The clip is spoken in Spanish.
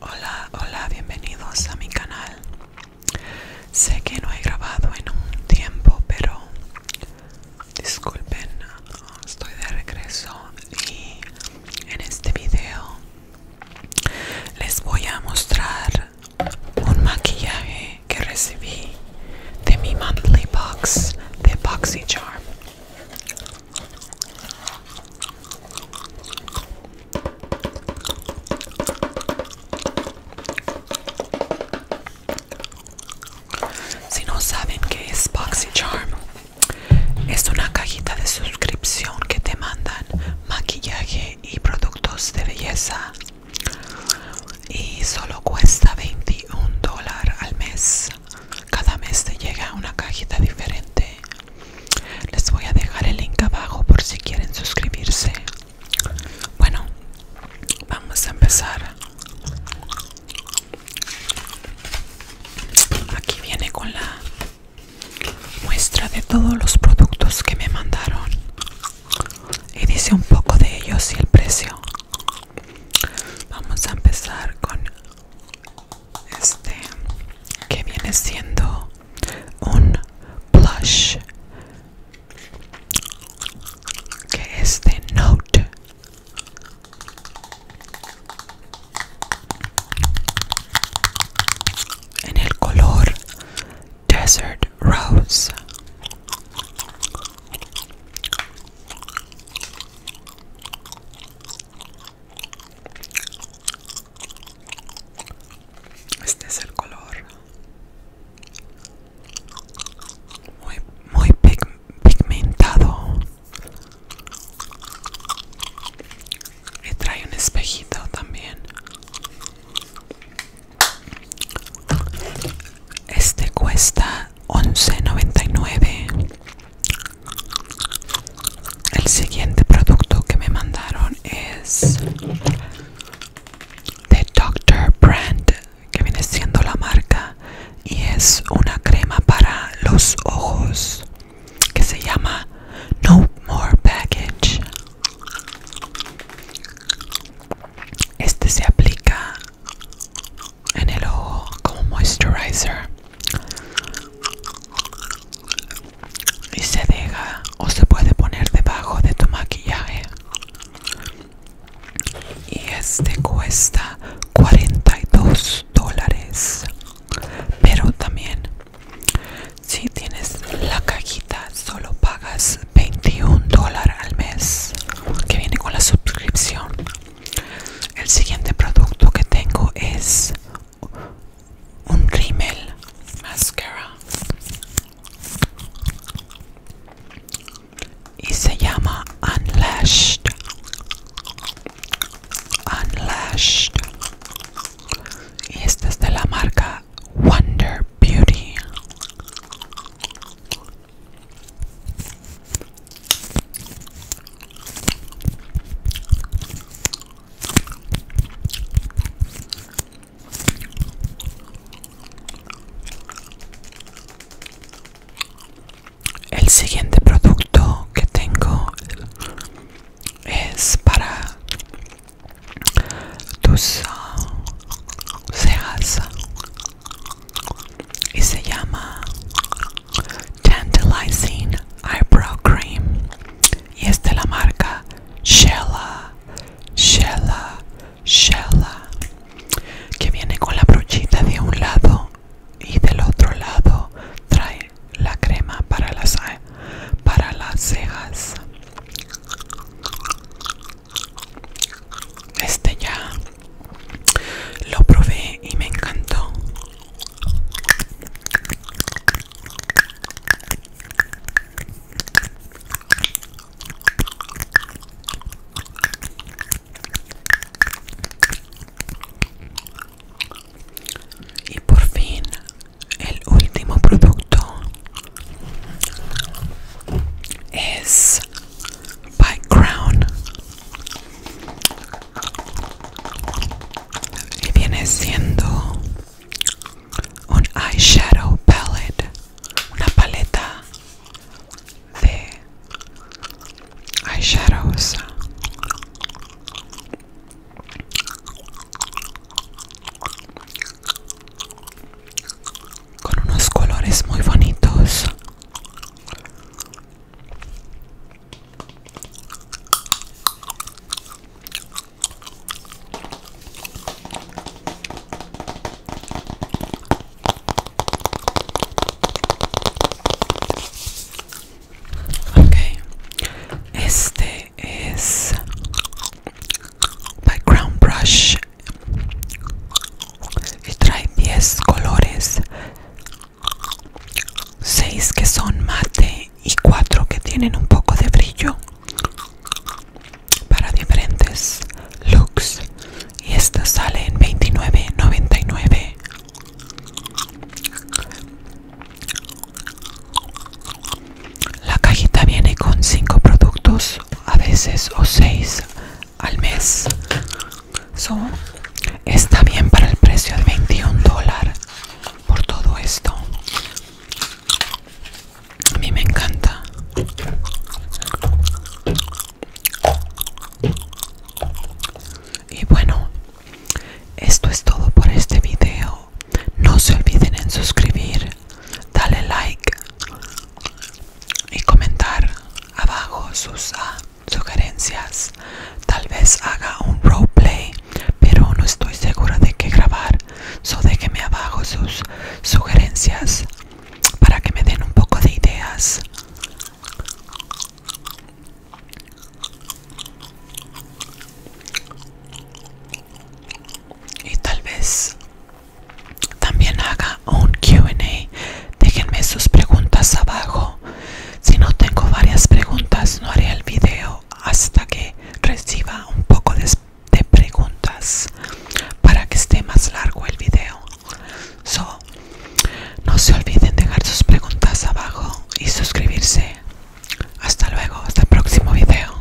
Hola, hola, bienvenidos a mi canal. Sé que no he grabado en un tiempo, pero disculpen, estoy de regreso y en este video les voy a mostrar un maquillaje que recibí de mi monthly box de charm. Si no saben qué es charm, es una cajita de suscripción que te mandan maquillaje y productos de belleza y solo cuesta 21 dólares al mes cada mes te llega una cajita diferente les voy a dejar el link abajo por si quieren suscribirse bueno vamos a empezar aquí viene con la muestra de todos los productos que me mandaron y dice un poco de ellos y el precio Vamos a empezar con este que viene siendo un plush que es de Note. En el color Desert Rose este es el color muy, pigmentado. me trae un espejito también. Este cuesta 11.99. El siguiente producto que me mandaron es de Dr. Brand, que viene siendo la marca y es una crema para los ojos que se llama No More Package. Este se aplica en el ojo como moisturizer y se deja o se puede poner debajo de tu maquillaje y este cuesta 42 dólares pero también si tienes la cajita solo pagas 21 dólares al mes que viene con la suscripción el siguiente producto que tengo es un rímel mascara y se llama Unlashed Unlashed y esta es de la marca Wonder Beauty el siguiente producto que tengo es para tus ah, cejas y se llama Tantalizing Eyebrow Cream y es de la marca Shella, Shella, Shella que viene con la brochita de un lado y del otro lado trae la crema para las, para las cejas este ya lo probé y me encantó. Y por fin el último producto es by Crown y viene siendo un eyeshadow palette, una paleta de eyeshadows con unos colores muy bonitos Okay. este es background brush y trae 10 colores 6 que son mate y 4 que tienen un poco de brillo para diferentes looks y esta sale en 29.99 la cajita viene con 5 productos, a veces o 6 al mes. So, está bien para el precio de 21 dólares por todo esto. A mí me encanta. Y bueno, esto es todo por este video. No se olviden en suscribir, dale like y comentar abajo sus ah, sugerencias. Tal vez haga un roleplay, pero no estoy segura de qué grabar. So déjenme abajo sus sugerencias para que me den un poco de ideas. Y tal vez también haga un QA. Déjenme sus preguntas abajo. Si no tengo varias preguntas, no haré el video hasta que reciba un poco de, preguntas para que esté más largo el video. no se olviden dejar sus preguntas abajo y suscribirse. Hasta luego, hasta el próximo video.